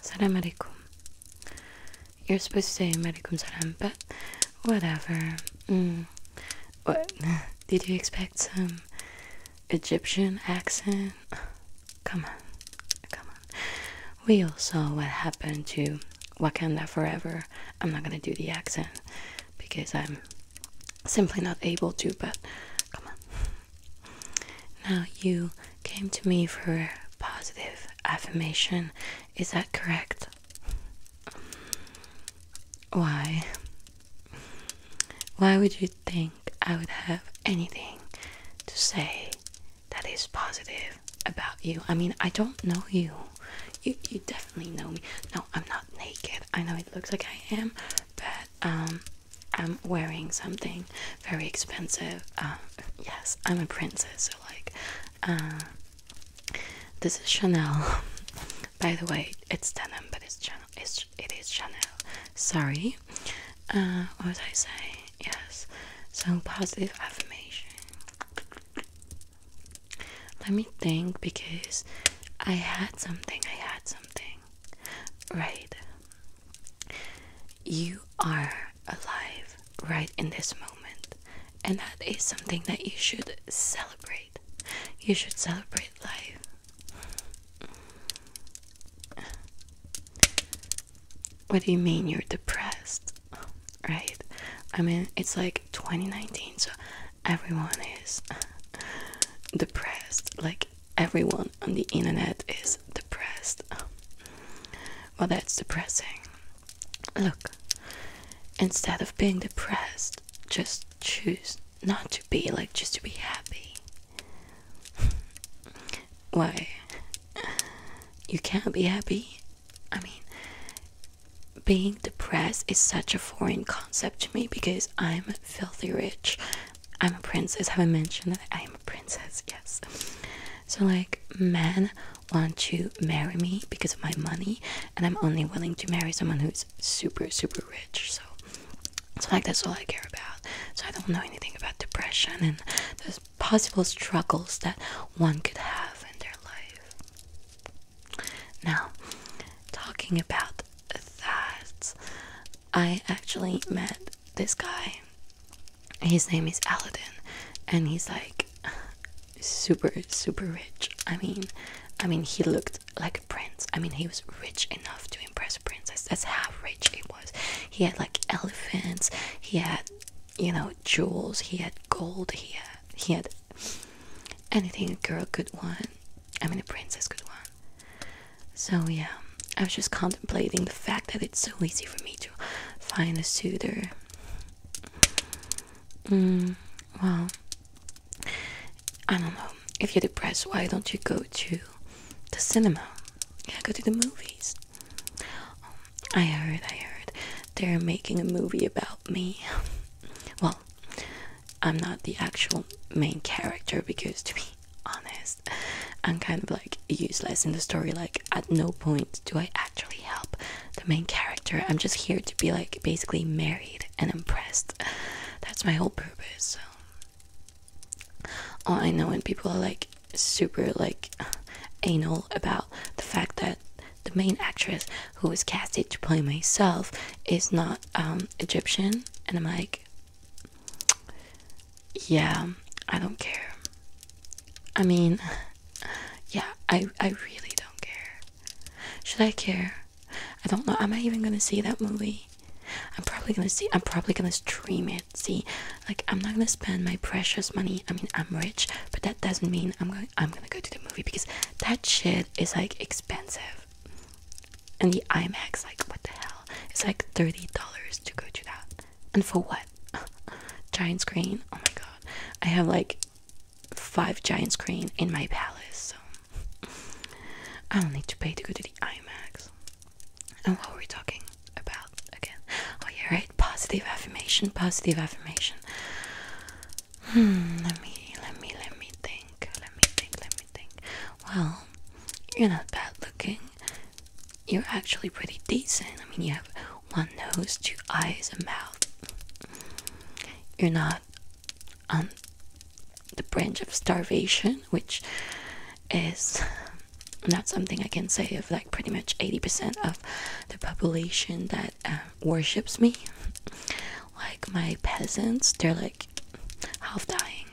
Salam alaikum. You're supposed to say alaikum salam, but whatever. Mm. What? Did you expect some Egyptian accent? Come on. Come on. We all saw what happened to Wakanda Forever. I'm not gonna do the accent because I'm simply not able to, but come on. Now, you came to me for positive affirmation, is that correct? Why? Why would you think I would have anything to say that is positive about you? I mean, I don't know you. You, you definitely know me. No, I'm not naked. I know it looks like I am, but um, I'm wearing something very expensive. Um, yes, I'm a princess, so like, uh, this is Chanel. By the way, it's denim, but it's Chanel. It's, Chanel. Sorry. Uh, what was I saying? Yes. So positive affirmation. Let me think because I had something. I had something right? You are alive right in this moment, and that is something that you should celebrate. You should celebrate life. What do you mean you're depressed? Right? I mean, it's like 2019, so everyone is depressed. Like, everyone on the internet is depressed. Um, well, that's depressing. Look, instead of being depressed, just choose not to be, like, just to be happy. Why? You can't be happy. I mean, being depressed is such a foreign concept to me because I'm filthy rich. I'm a princess. Have I mentioned that I am a princess? Yes. So, like, men want to marry me because of my money, and I'm only willing to marry someone who's super, super rich. So, so like, that's all I care about. So, I don't know anything about depression and the possible struggles that one could have in their life. Now, talking about that, I actually met this guy. His name is Aladdin, and he's like super super rich. I mean, I mean he looked like a prince. I mean he was rich enough to impress a princess. That's how rich he was. He had like elephants. He had you know jewels. He had gold. He had he had anything a girl could want. I mean a princess could want. So yeah, I was just contemplating the fact that it's so easy for me to find a suitor. Mm, well, I don't know. If you're depressed, why don't you go to the cinema? Yeah, go to the movies. Oh, I heard, I heard. They're making a movie about me. well, I'm not the actual main character because to be honest and kind of like useless in the story like at no point do i actually help the main character i'm just here to be like basically married and impressed that's my whole purpose so all i know when people are like super like anal about the fact that the main actress who was casted to play myself is not um, egyptian and i'm like yeah, I don't care. I mean, yeah, I I really don't care. Should I care? I don't know. Am I even gonna see that movie? I'm probably gonna see. I'm probably gonna stream it. See, like I'm not gonna spend my precious money. I mean, I'm rich, but that doesn't mean I'm gonna I'm gonna go to the movie because that shit is like expensive. And the IMAX, like, what the hell? It's like $30 to go to that. And for what? giant screen? Oh my god. I have like five giant screens in my palace, so I don't need to pay to go to the IMAX. And what were we talking about again? Oh yeah, right. Positive affirmation, positive affirmation. Hmm, let me let me let me think. Let me think, let me think. Well, you're not bad looking. You're actually pretty decent. I mean, you have one nose, two eyes, a mouth. You're not on um, the branch of starvation, which is not something I can say of like pretty much 80% of the population that uh, worships me. Like my peasants, they're like half dying.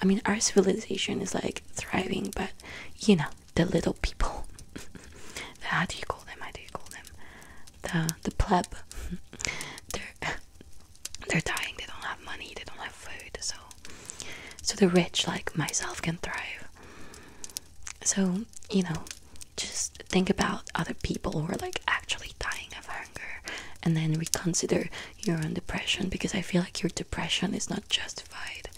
I mean, our civilization is like thriving, but you know, the little people. how do you call them? How do you call them? The the pleb. they're they're dying. They don't have money. They don't have food. So so the rich, like myself, can thrive. So you know, just think about other people who are like actually dying of hunger, and then reconsider your own depression because I feel like your depression is not justified.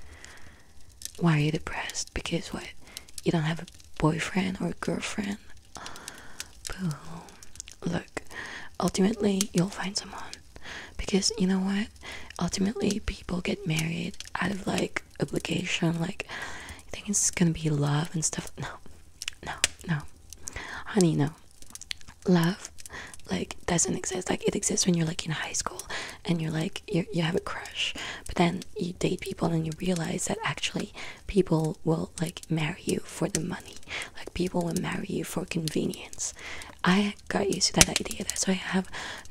Why are you depressed? Because what? You don't have a boyfriend or a girlfriend? Boo. Look, ultimately, you'll find someone. Because you know what? Ultimately, people get married out of like obligation. Like, I think it's gonna be love and stuff. No, no, no. Honey, no love like doesn't exist like it exists when you're like in high school and you're like you you have a crush but then you date people and you realize that actually people will like marry you for the money like people will marry you for convenience i got used to that idea that's why i have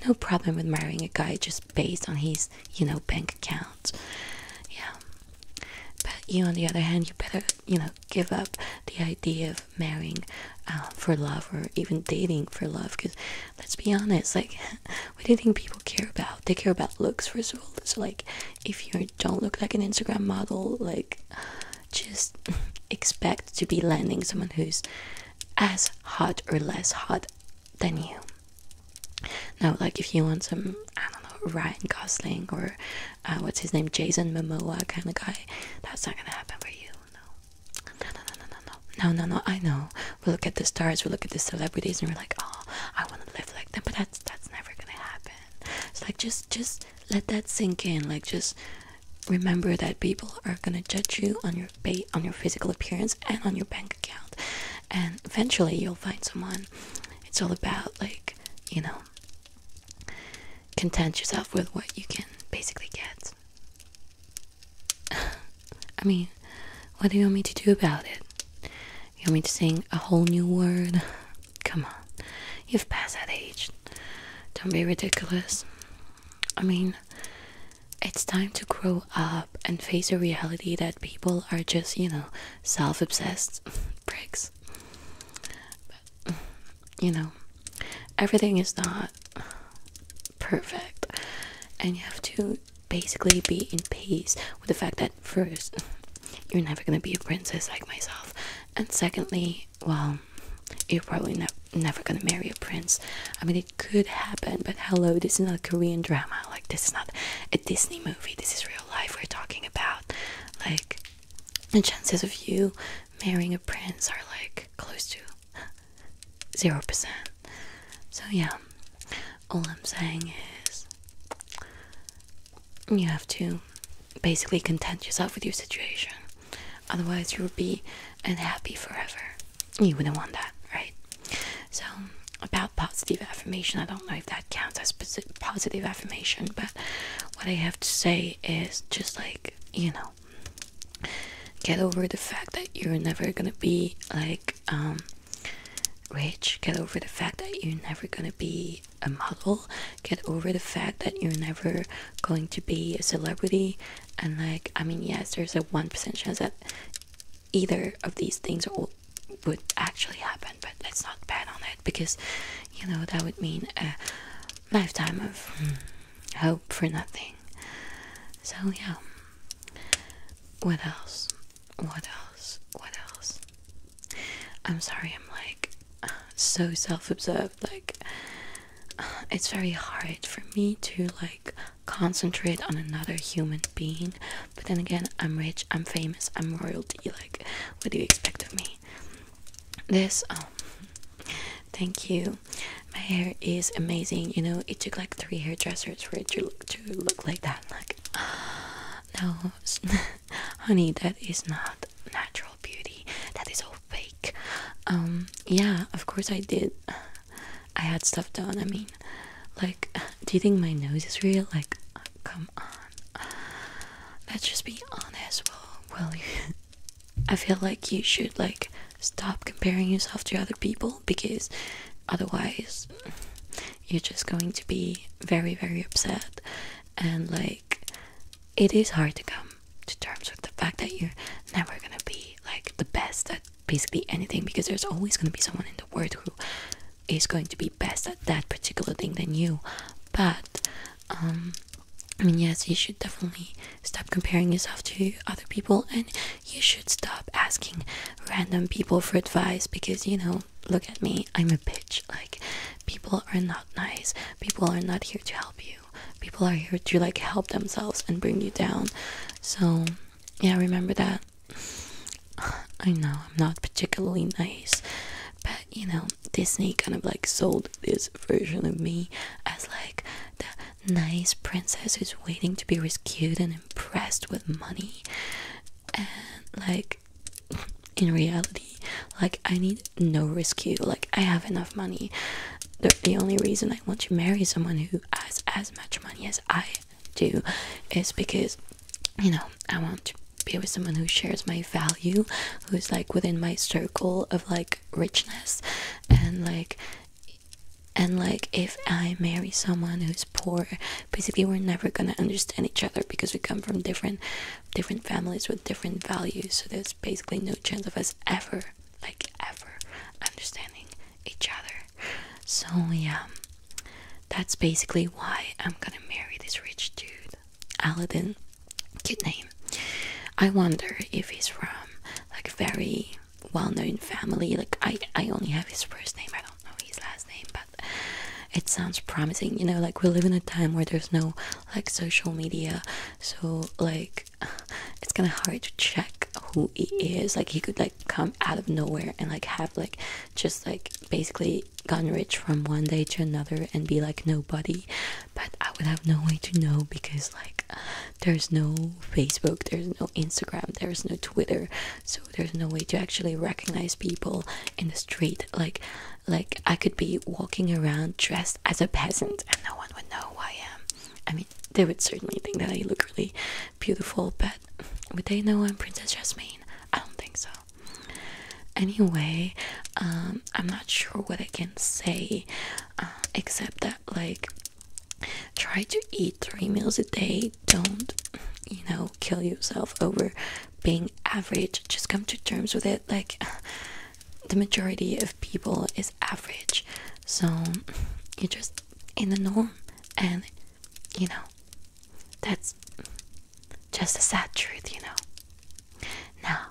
no problem with marrying a guy just based on his you know bank account yeah but you on the other hand you better you know give up the idea of marrying um, for love or even dating for love because let's be honest like what do you think people care about they care about looks first of all so like if you don't look like an instagram model like just expect to be landing someone who's as hot or less hot than you now like if you want some i don't know ryan gosling or uh, what's his name, Jason Momoa kind of guy. That's not gonna happen for you. No, no, no, no, no, no, no, no, no. I know. We look at the stars, we look at the celebrities, and we're like, oh, I want to live like them. But that's that's never gonna happen. It's like just just let that sink in. Like just remember that people are gonna judge you on your pay, on your physical appearance and on your bank account, and eventually you'll find someone. It's all about like you know content yourself with what you can basically get. I mean, what do you want me to do about it? You want me to sing a whole new word? Come on, you've passed that age. Don't be ridiculous. I mean, it's time to grow up and face a reality that people are just, you know, self obsessed pricks you know, everything is not perfect, and you have to basically be in peace with the fact that first, you're never gonna be a princess like myself, and secondly, well, you're probably never gonna marry a prince. I mean, it could happen, but hello, this is not a Korean drama. Like, this is not a Disney movie. This is real life we're talking about. Like, the chances of you marrying a prince are like close to zero percent. So yeah, all I'm saying is you have to basically content yourself with your situation. Otherwise, you will be unhappy forever. You wouldn't want that, right? So, about positive affirmation, I don't know if that counts as positive but what I have to say is just like, you know, get over the fact that you're never gonna be like um rich, get over the fact that you're never gonna be a model, get over the fact that you're never going to be a celebrity and like I mean yes there's a one percent chance that either of these things would actually happen but let's not bet on it because you know that would mean lifetime of hope for nothing. So, yeah. What else? What else? What else? I'm sorry, I'm like so self observed. Like, it's very hard for me to like concentrate on another human being. But then again, I'm rich, I'm famous, I'm royalty. Like, what do you expect of me? this um thank you my hair is amazing you know it took like three hairdressers for it to look, to look like that like no honey that is not natural beauty that is all fake um yeah of course i did i had stuff done i mean like do you think my nose is real like uh, come on let's just be honest well well I feel like you should like stop comparing yourself to other people because otherwise you're just going to be very very upset and like it is hard to come to terms with the fact that you're never going to be like the best at basically anything because there's always going to be someone in the world who is going to be best at that particular thing than you but um I mean, yes, you should definitely stop comparing yourself to other people and you should stop asking random people for advice because, you know, look at me, I'm a bitch. Like, people are not nice, people are not here to help you, people are here to like help themselves and bring you down. So, yeah, remember that. I know I'm not particularly nice, but you know, Disney kind of like sold this version of me as like the nice princess who's waiting to be rescued and impressed with money. And like in reality, like I need no rescue. Like I have enough money. The, the only reason I want to marry someone who has as much money as I do is because you know I want to be with someone who shares my value, who's like within my circle of like richness, and like and like if i marry someone who's poor basically we're never going to understand each other because we come from different different families with different values so there's basically no chance of us ever like ever understanding each other so yeah that's basically why i'm going to marry this rich dude Aladdin. Cute name. I wonder if he's from like a very well-known family. Like I, I only have his first name. I don't know his last name, but it sounds promising. You know, like we live in a time where there's no like social media, so like it's kind of hard to check who he is. Like he could like come out of nowhere and like have like just like basically gone rich from one day to another and be like nobody but i would have no way to know because like there's no facebook there's no instagram there's no twitter so there's no way to actually recognize people in the street like like i could be walking around dressed as a peasant and no one would know who i am i mean they would certainly think that i look really beautiful but would they know i'm princess jasmine i don't think so Anyway, um, I'm not sure what I can say uh, except that, like, try to eat three meals a day. Don't, you know, kill yourself over being average. Just come to terms with it. Like, the majority of people is average. So, you're just in the norm. And, you know, that's just a sad truth, you know. Now,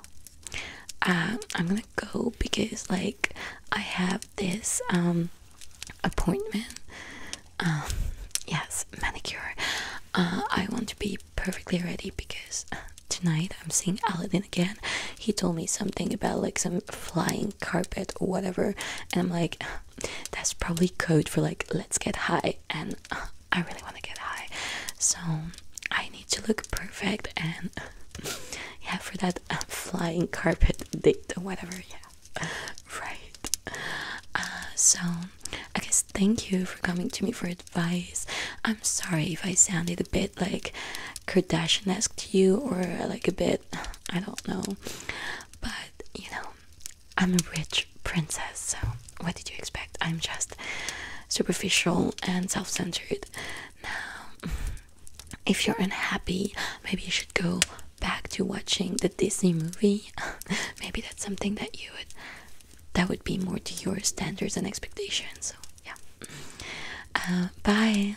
um, I'm gonna go because like I have this um, appointment. Um, yes, manicure. Uh, I want to be perfectly ready because uh, tonight I'm seeing Aladdin again. He told me something about like some flying carpet or whatever, and I'm like, that's probably code for like let's get high. And uh, I really want to get high, so I need to look perfect and yeah, for that uh, flying carpet date or whatever. Yeah, right. Uh, so I guess thank you for coming to me for advice. I'm sorry if I sounded a bit like Kardashian-esque to you or like a bit, I don't know, but you know, I'm a rich princess, so what did you expect? I'm just superficial and self centered. Now, if you're unhappy, maybe you should go back to watching the Disney movie. maybe that's something that you would that would be more to your standards and expectations. So, yeah. Uh, bye.